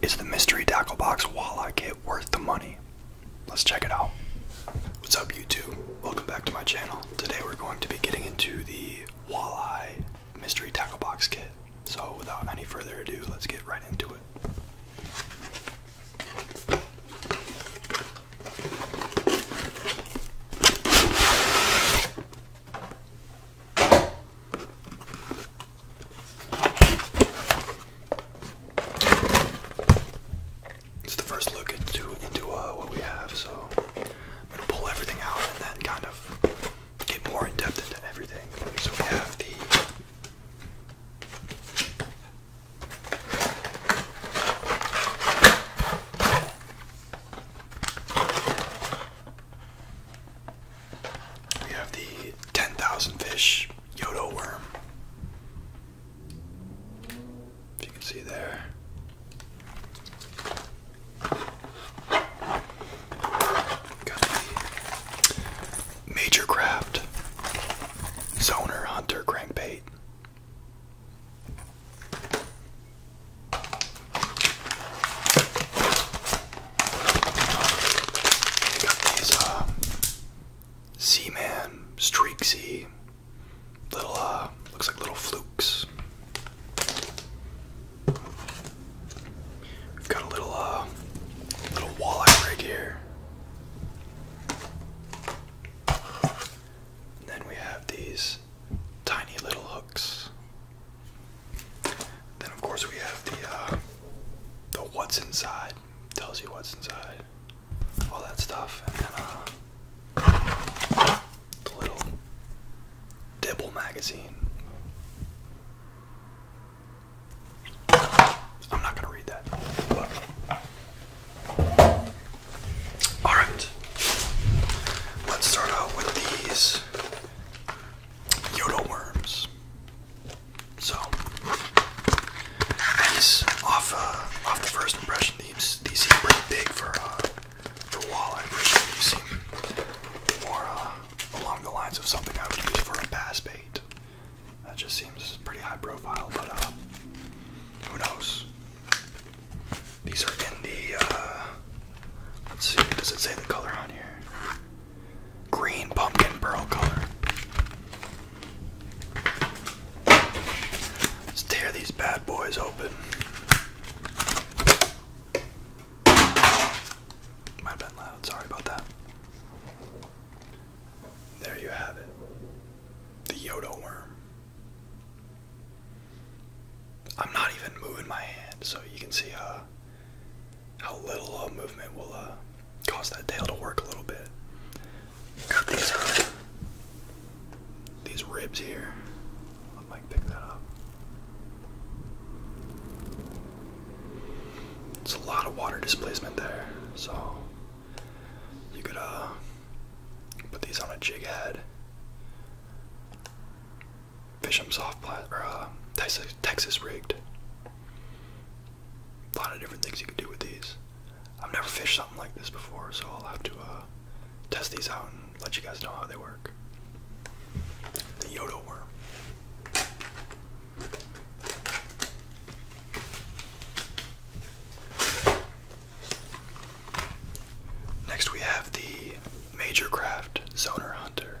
Is the mystery tackle box walleye kit worth the money? Let's check it out. What's up YouTube? Welcome back to my channel. Today we're going to be getting into the walleye mystery tackle box kit. So without any further ado, let's get right into it. It's the first look into into uh, what we have, so I'm gonna pull everything out and then kind of get more in depth into everything. So we have the we have the 10,000 fish Yodo worm. If you can see there. Major Craft Zoner Hunter Crankbait. I got these um, man Streaksy little uh, looks like little flukes. We've got a little uh, little walleye rig here. then we have these tiny little hooks. Then of course we have the uh, the what's inside tells you what's inside, all that stuff, and then uh, the little dibble magazine. I'm not gonna read that. All right, let's start out with these Yodo worms. So, these off uh, off the first impression, these these seem pretty big for uh, for walleye. These seem more uh, along the lines of something I would use for a bass bait. That just seems pretty high profile, but uh, who knows? These are in the. let's see, does it say the color on here? green pumpkin pearl color. Let's tear these bad boys open. Might have been loud, sorry about that. There you have it. The Yodo worm. I'm not even moving my hand, so you can see uh, how little uh, movement will uh, cause that tail to work a little bit. Uh, these, ribs here. Let Mike pick that up. It's a lot of water displacement there, so you could uh, put these on a jig head. Fisham soft plastic, or uh, Texas, rigged. A lot of different things you can do with these. I've never fished something like this before, so I'll have to uh, test these out and let you guys know how they work. The Yodo worm. Next we have the Major Craft Zoner Hunter.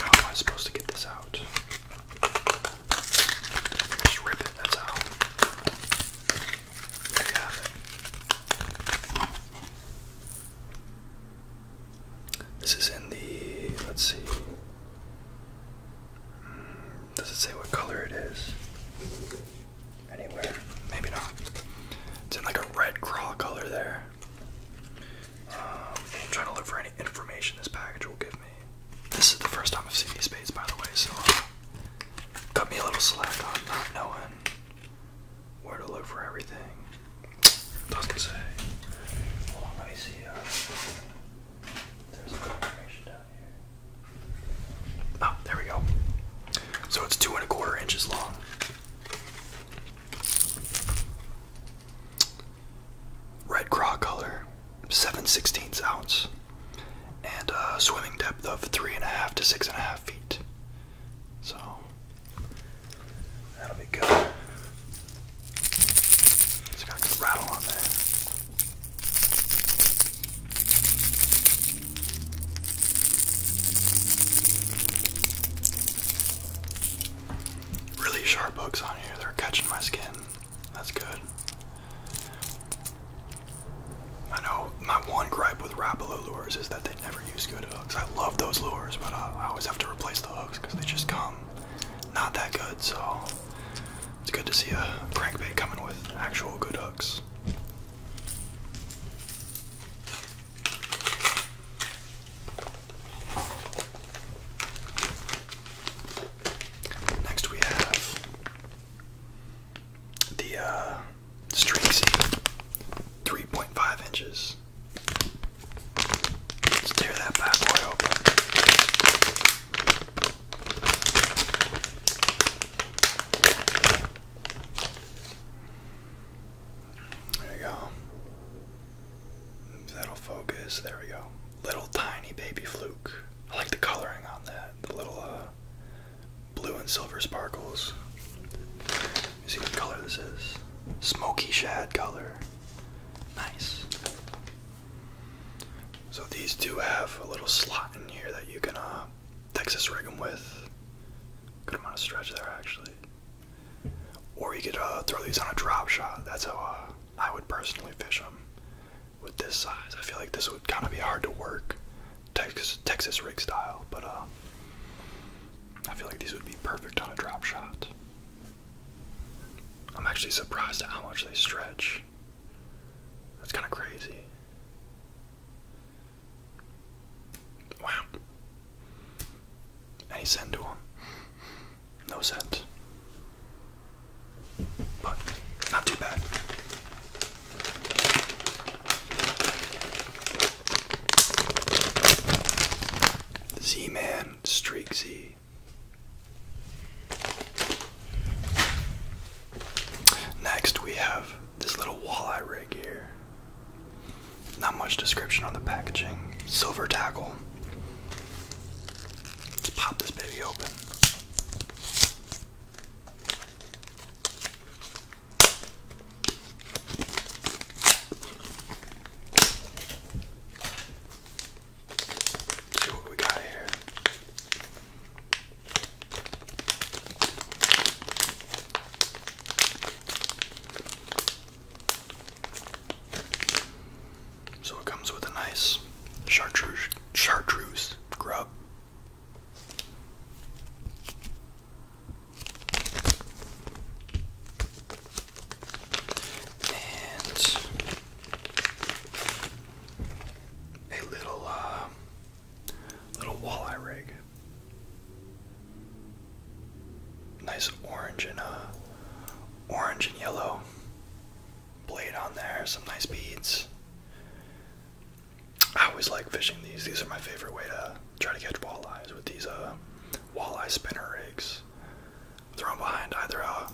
How am I supposed to get this out? rip it, that's how. There you have it. This is in the, let's see. Hmm, does it say what color it is? anywhere. Maybe not. It's in like a red craw color there. Um, I'm trying to look for any information this package will give me. This is the first time I've seen these spades, by the way, so uh, cut me a little slack on not knowing where to look for everything. Doesn't say. Hold on, let me see. Uh, there's some information down here. Oh, there we go. So it's two and a quarter inches long. Red craw color, 7 16 ounce, and a uh, swimming depth of 3.5 to 6.5 feet. So, that'll be good. It's got a good rattle on there. Really sharp hooks on here, they're catching my skin. That's good. I know my one gripe with Rapalo lures is that they never use good hooks. I love those lures, but I, I always have to replace the hooks because they just come not that good. So it's good to see a crankbait coming with actual good hooks. Next we have the uh, 3.5 inches. Let's tear that bad boy open. There we go. That'll focus. There we go. Little tiny baby fluke. I like the coloring on that. The little uh, blue and silver sparkles. You see what color this is? Smoky shad color. Nice. So these do have a little slot in here that you can uh, Texas rig them with. Good amount of stretch there, actually. Or you could uh, throw these on a drop shot. That's how uh, I would personally fish them. With this size, I feel like this would kind of be hard to work, Texas Texas rig style. But uh, I feel like these would be perfect on a drop shot. I'm actually surprised at how much they stretch. That's kind of crazy. Wow. Any sense to him? No sense. But not too bad. Z Man Streak Z. Next, we have this little walleye rig here. Not much description on the packaging. Silver tackle. Let's pop this baby open. See what we got here. So it comes with a nice chartreuse, chartreuse grub. And a little uh, Little walleye rig. Nice orange and uh, orange and yellow blade on there. Some nice beads. I always like fishing these. These are my favorite way to try to catch walleyes with these uh, walleye spinner rigs. Thrown behind either a,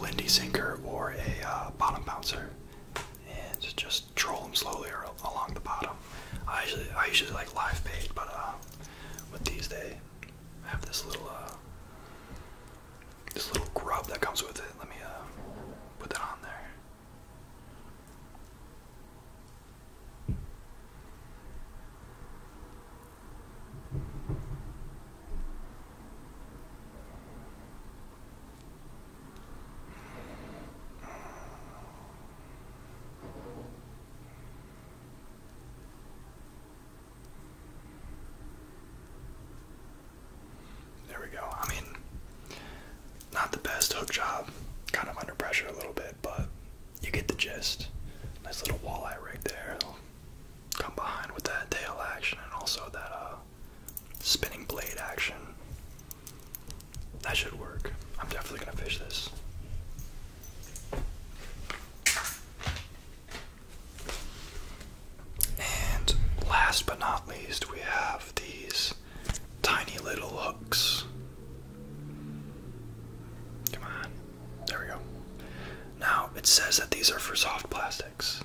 Lindy sinker or a uh, bottom bouncer, and just troll them slowly along the bottom. I usually I usually like live bait, but um, with these they have this little uh, this little grub that comes with it. Let me uh, put that on there. There we go. I mean, not the best hook job. Kind of under pressure a little bit, but you get the gist. Nice little walleye right there. come behind with that tail action and also that uh, spinning blade action. That should work. I'm definitely gonna fish this. And last but not least, we have these tiny little hooks. Come on. There we go. Now, it says that these are for soft plastics.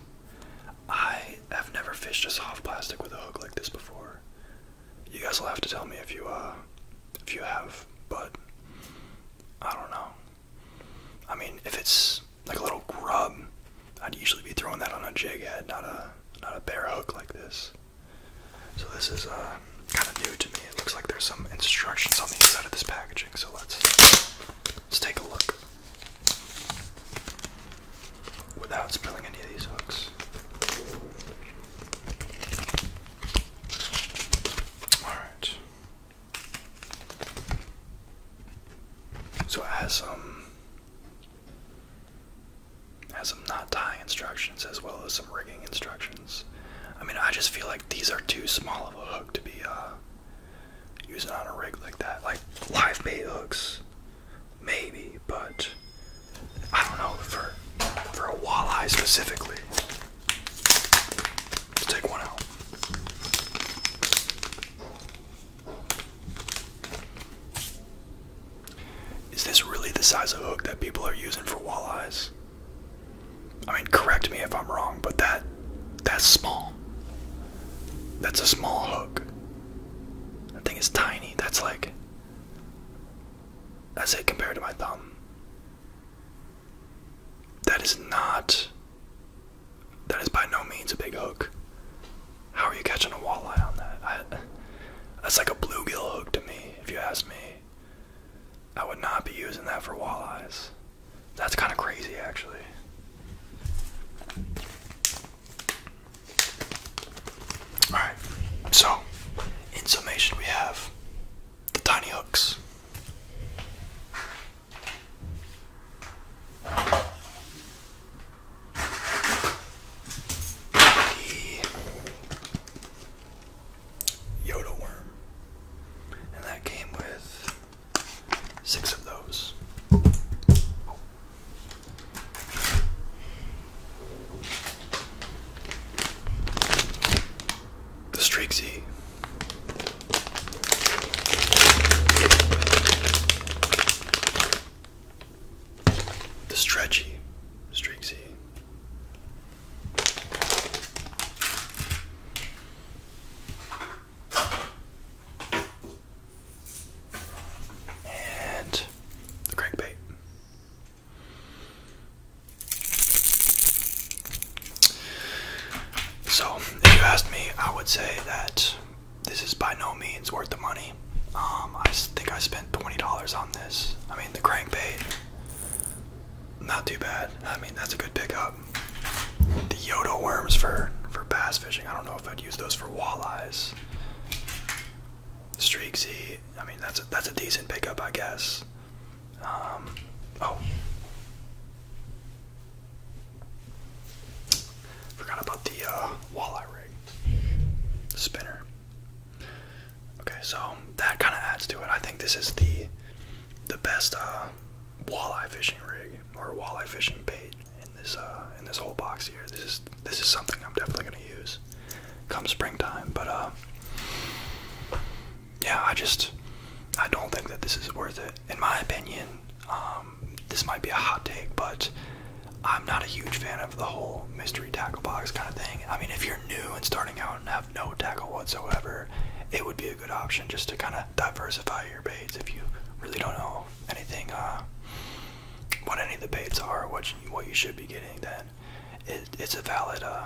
I have never fished a soft plastic with a hook like this before. You guys will have to tell me if you uh if you have, but I don't know. I mean, if it's like a little grub, I'd usually be throwing that on a jig head, not a not a bare hook like this. So this is uh kind of new to me. It looks like there's some instructions on the inside of this packaging, so let's let's take a look. Without spilling any of these hooks. All right. So it has um has some knot tie instructions as well as some rigging instructions. I mean, I just feel like these are too small of a hook to be uh using on a rig like that. Like live bait hooks maybe, but I don't know for for a walleye specifically. Let's take one out. Is this really the size of hook that people are using for walleyes? I mean, correct me if I'm wrong, but that that's small. That's a small hook. I think it's tiny. That's like that's it compared to my thumb. That is not. That is by no means a big hook. How are you catching a walleye on that? that's like a bluegill hook to me, if you ask me. I would not be using that for walleyes. That's kind of crazy, actually. Alright, so in summation, we have the tiny hooks. The Yoda worm. And that came with six of those. The streaky, The Stretchy. Strixie. And the crankbait. So, if you asked me, I would say that this is by no means worth the money. Um, I think I spent $20 on this. I mean, the crankbait, not too bad. I mean, that's a good pickup. The Yodo worms for, for bass fishing, I don't know if I'd use those for walleyes. Streaksy. I mean, that's a, that's a decent pickup, I guess. Um, oh, forgot about the uh, walleye rig, spinner. Okay, so that kind of adds to it. I think this is the the best uh, walleye fishing rig or walleye fishing bait in this uh, in this whole box here this is something I'm definitely gonna use come springtime. But uh, yeah, I just I don't think that this is worth it. In my opinion, um, this might be a hot take, but I'm not a huge fan of the whole mystery tackle box kind of thing. I mean, if you're new and starting out and have no tackle whatsoever, it would be a good option just to kind of diversify your baits if you really don't know anything. Uh, what any of the baits are, what what you should be getting, then it's a valid, uh,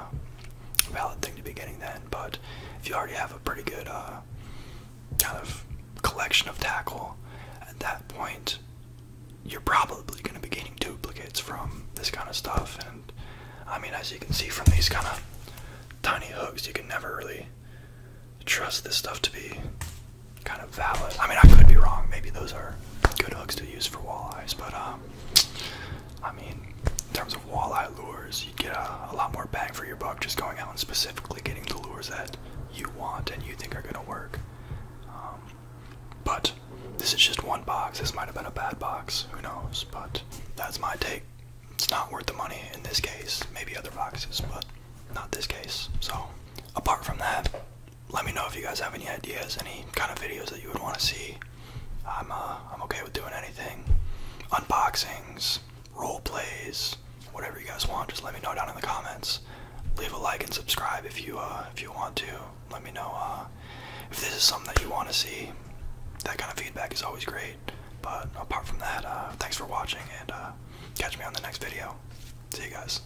valid thing to be getting then. But if you already have a pretty good uh, kind of collection of tackle, at that point, you're probably going to be getting duplicates from this kind of stuff. And I mean, as you can see from these kind of tiny hooks, you can never really trust this stuff to be kind of valid. I mean, I could be wrong. Maybe those are good hooks to use for walleyes, but um, I mean, in terms of walleye lures, you get a, lot more bang for your buck just going out and specifically getting the lures that you want and you think are gonna work. Um, but this is just one box. This might have been a bad box. Who knows? But that's my take. It's not worth the money in this case. Maybe other boxes, but not this case. So apart from that, let me know if you guys have any ideas, any kind of videos that you would want to see. I'm uh, I'm okay with doing anything, unboxings, role plays, whatever you guys want. Just let me know down in the comments. Leave a like and subscribe if you uh, if you want to. Let me know uh, if this is something that you want to see. That kind of feedback is always great. But apart from that, thanks for watching and catch me on the next video. See you guys.